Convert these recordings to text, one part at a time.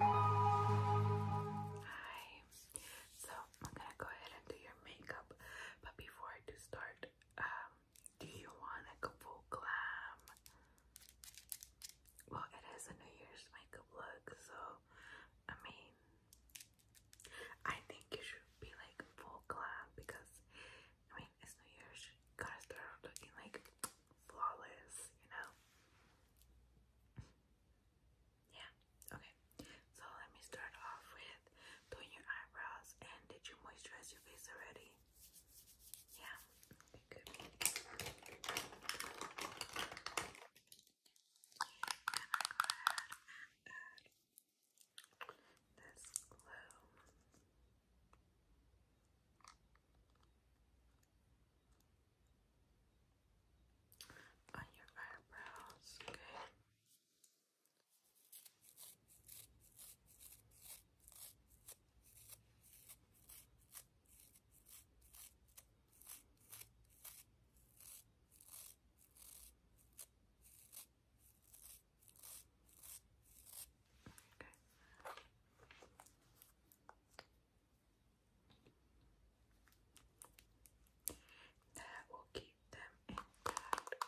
Hi. So I'm gonna go ahead and do your makeup, but before I do start, um, do you want a full glam? Well, it is a New Year's makeup look, so I mean, I think you should be like full glam because I mean, it's New Year's. gotta start looking like flawless, you know? Yeah, okay. So let me start off with doing your eyebrows. And did you moisturize your face already? Yeah, on your eyebrows, okay. Okay. That will keep them intact. Okay.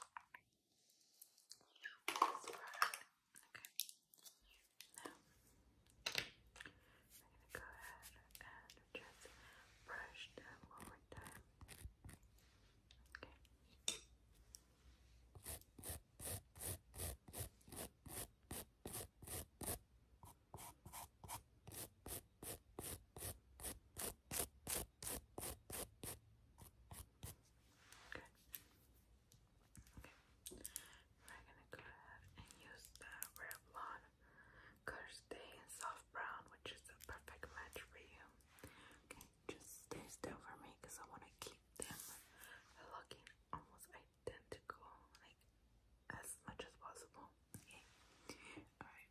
I'm going to go ahead and just brush them one more time. Okay. We're gonna go ahead and use the Revlon Color Stay Soft Brown, which is a perfect match for you. Okay, just stay still for me because I want to keep them looking almost identical them like as much as possible. Okay. Alright.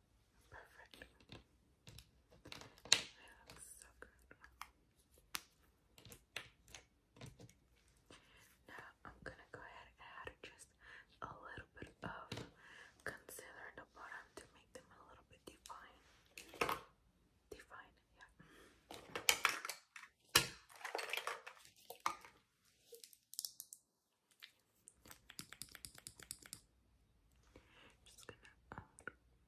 Perfect. It looks so good. Now I'm gonna go ahead and add just a little bit of concealer in the bottom to make them a little bit defined. Defined, yeah. Just gonna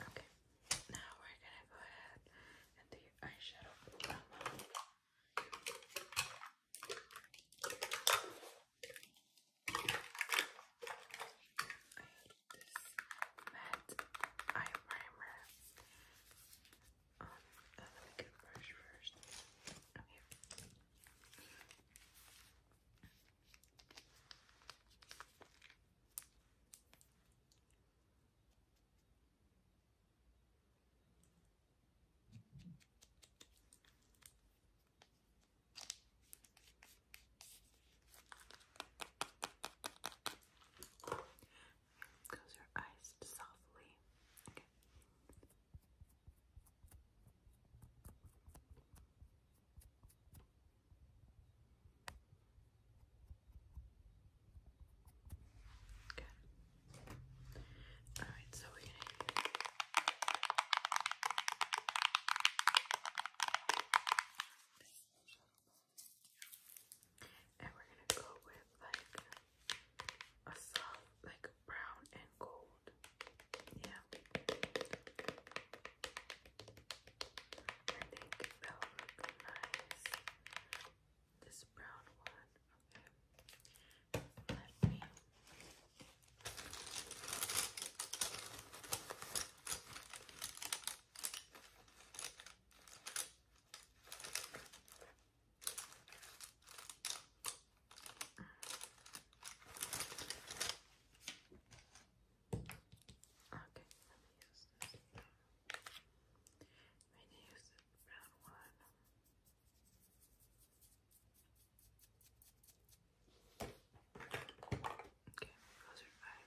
Okay, now we're gonna go ahead and do eyeshadow from I hate this matte eye primer. Um, let me get a brush first. Okay. Close your eyes softly. Okay. Okay. All right, so we're gonna and we're gonna go with like a soft, like brown and gold. Yeah. I think that'll look nice this brown one. Okay. Let me Okay, let me use this. I need to one. Okay, those are five.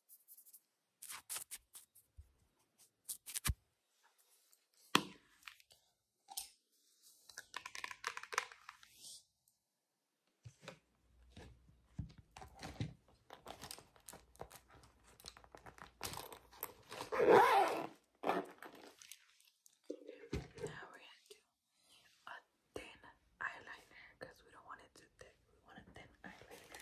Now we're gonna do a thin eyeliner because we don't want it to too thick. We want thin eyeliner.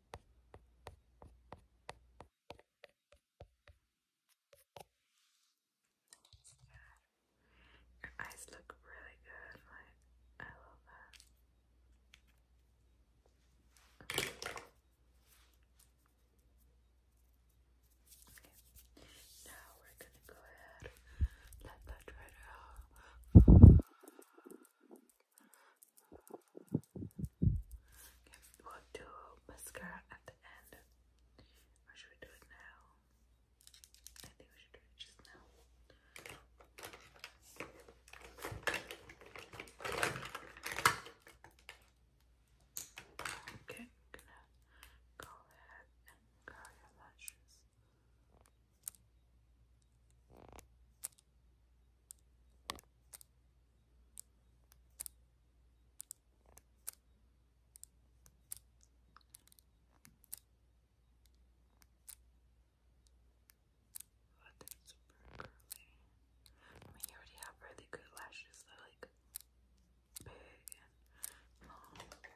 Your eyes look really good, I love that. Now we're gonna go ahead, let that dry out. Okay, we'll do mascara at the end. Or should we do it now? I think we should do it just now. Okay, I'm gonna go ahead and curl your lashes. Oh, super curly. I mean, you already have really good lashes. They're like big and long. Okay.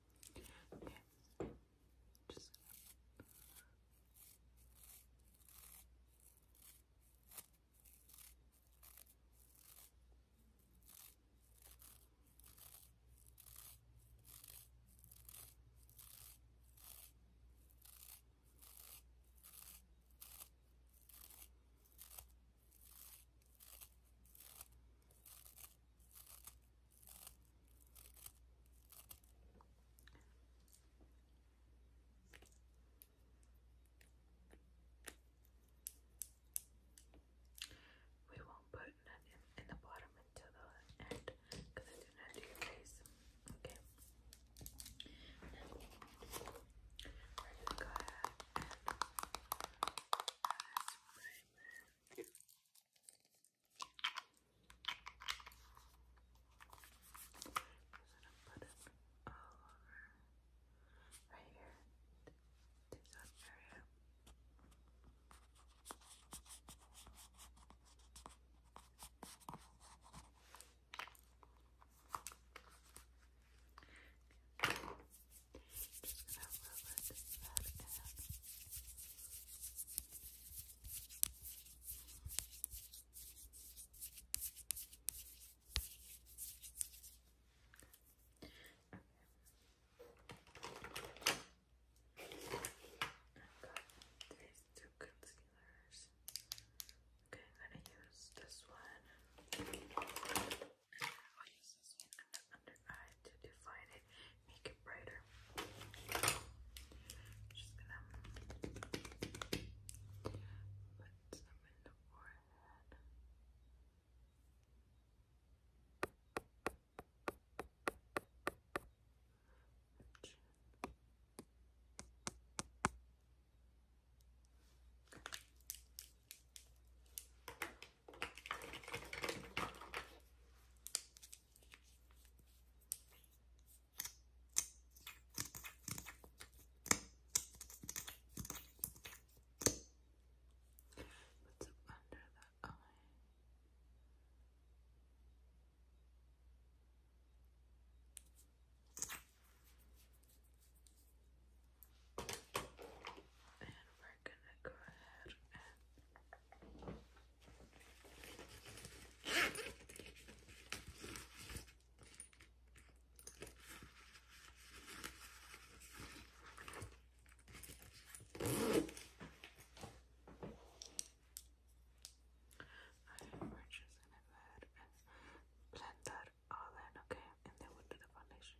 Okay. Just Okay. We won't put none in, the bottom until the end because I do not do your face. Okay. we're gonna go ahead put it right here. This area. Okay. Just gonna rub it that in. i got these two concealers. Okay, I'm gonna use this one. I'll under eye to define it, make it brighter. just gonna put some in the forehead. What's up under that eye? And we're gonna go ahead and we're just gonna and blend that all in, okay? And then we do the foundation.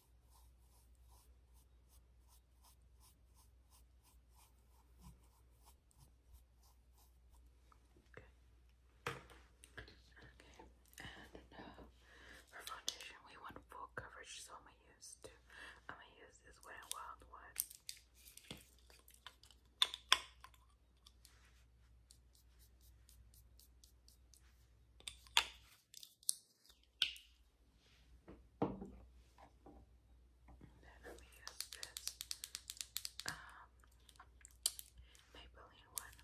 Okay. Okay. And uh, for foundation, we want full coverage, so I'm gonna use two. I'm gonna use this Wet n Wild one. Then I'm going this Maybelline one.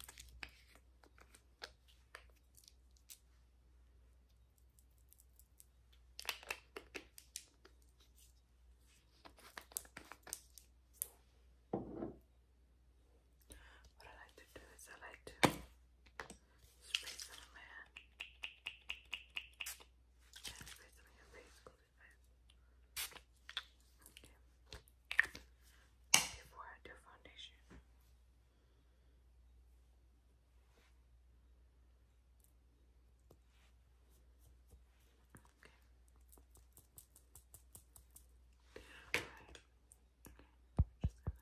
What I like to do is I like to Spray some on my hand. And spray some on your face. Close your eyes. Okay. Before I do foundation. Okay. Alright. Okay. Just gonna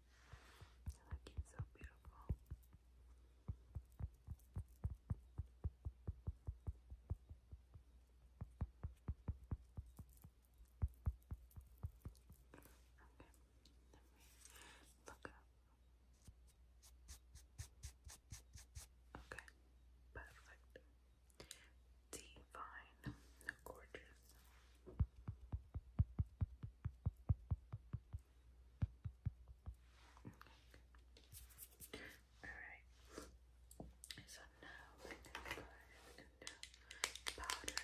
you looking so beautiful. Okay, look up. Okay, perfect. Divine, gorgeous. Okay. Alright. So now we're going to go and do powder.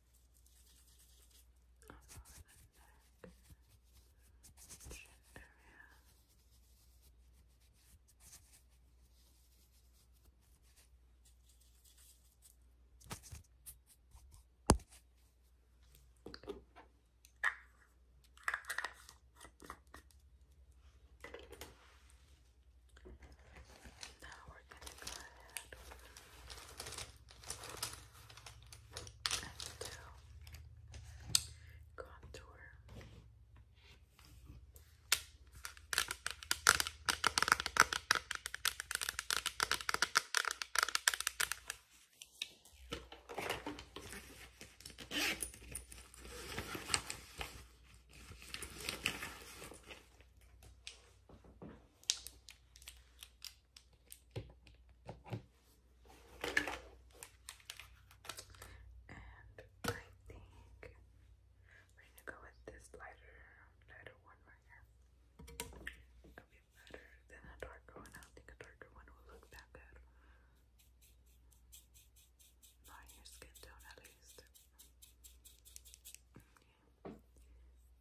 around the Now we're going to go ahead and uh, contour. And I think we're gonna go with this lighter, lighter one right here. It'll be better than a darker one. I don't think a darker one will look that good. Not your skin tone, at least.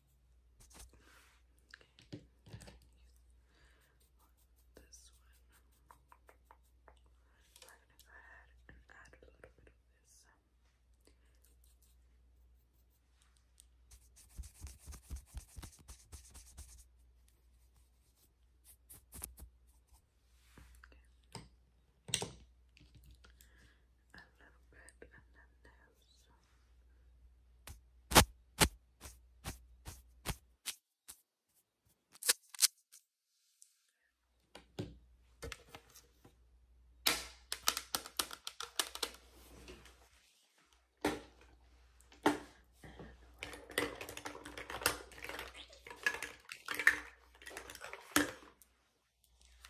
Okay. This one. I'm gonna go ahead and add a little bit of this. Okay a little bit, and then there's and I have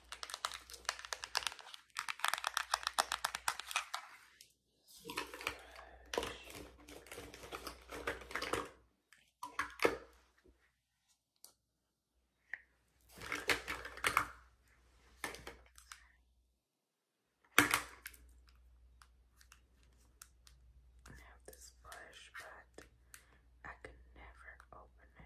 this brush, but I could never open it.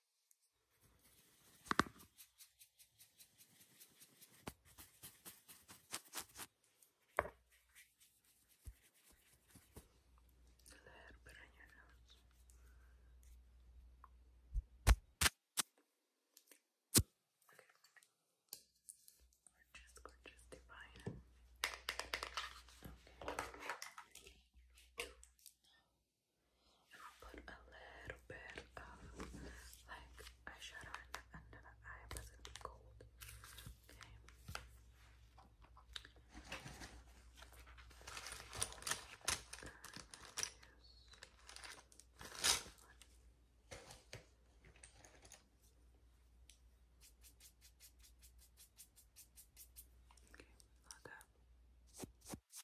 little bit on your nose. Okay. Gorgeous, gorgeous, divine. Okay. Two. I'll put a little bit of like eyeshadow in the under the eye because it'll cold. Okay. Okay, like that.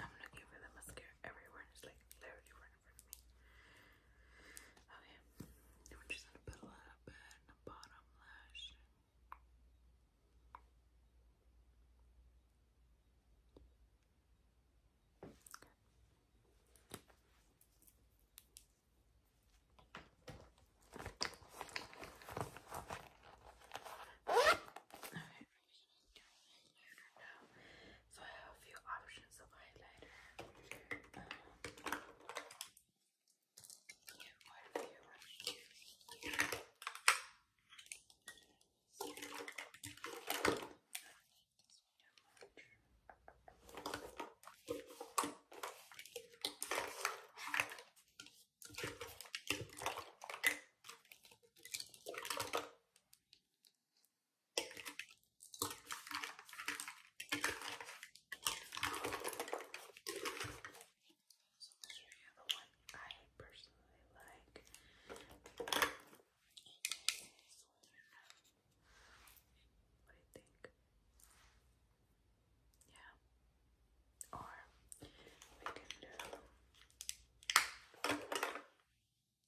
I'm looking for the mascara everywhere it's like literally right in Okay, we're just gonna put a little bit in the bottom lash you can go. So I have a few options of highlighter. Um, yeah, quite a few. So the one I personally like. What you think? Yeah. Or we can do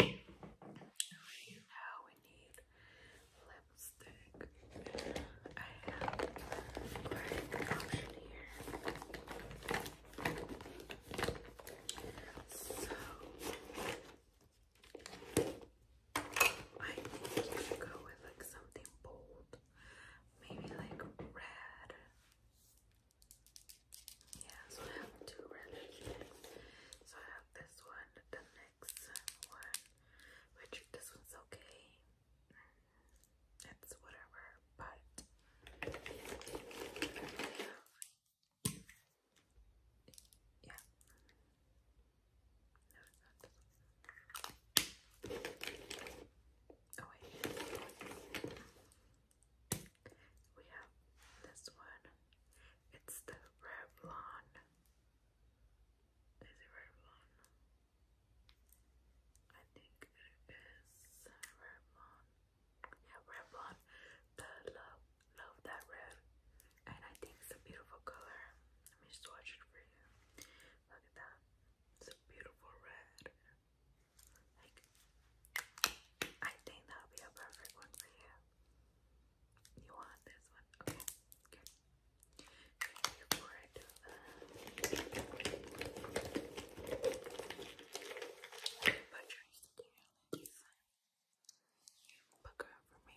now we need lipstick. I have black option here. So I think you can go with like something bold. Maybe like red yeah, so I have two relationships. So I have this one, the next one, which this one's okay. It's whatever, but yeah. Oh wait. We have this one. It's the Revlon. Is it Revlon? I think it is Revlon. Yeah, Revlon. The love, love that red. And I think it's a beautiful color. Let me just watch it for you. Look at that. It's a beautiful red. Like, I think that'll be a perfect one for you. You want this one? Okay, Okay, put your scales Book her for me.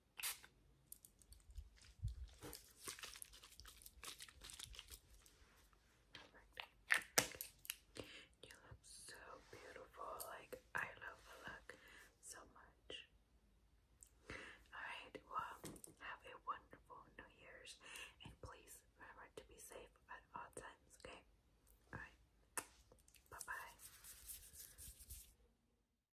You look so beautiful. Like, I love the look so much. Alright, well, have a wonderful New Year's. And please remember to be safe at all times, okay? Alright, bye bye.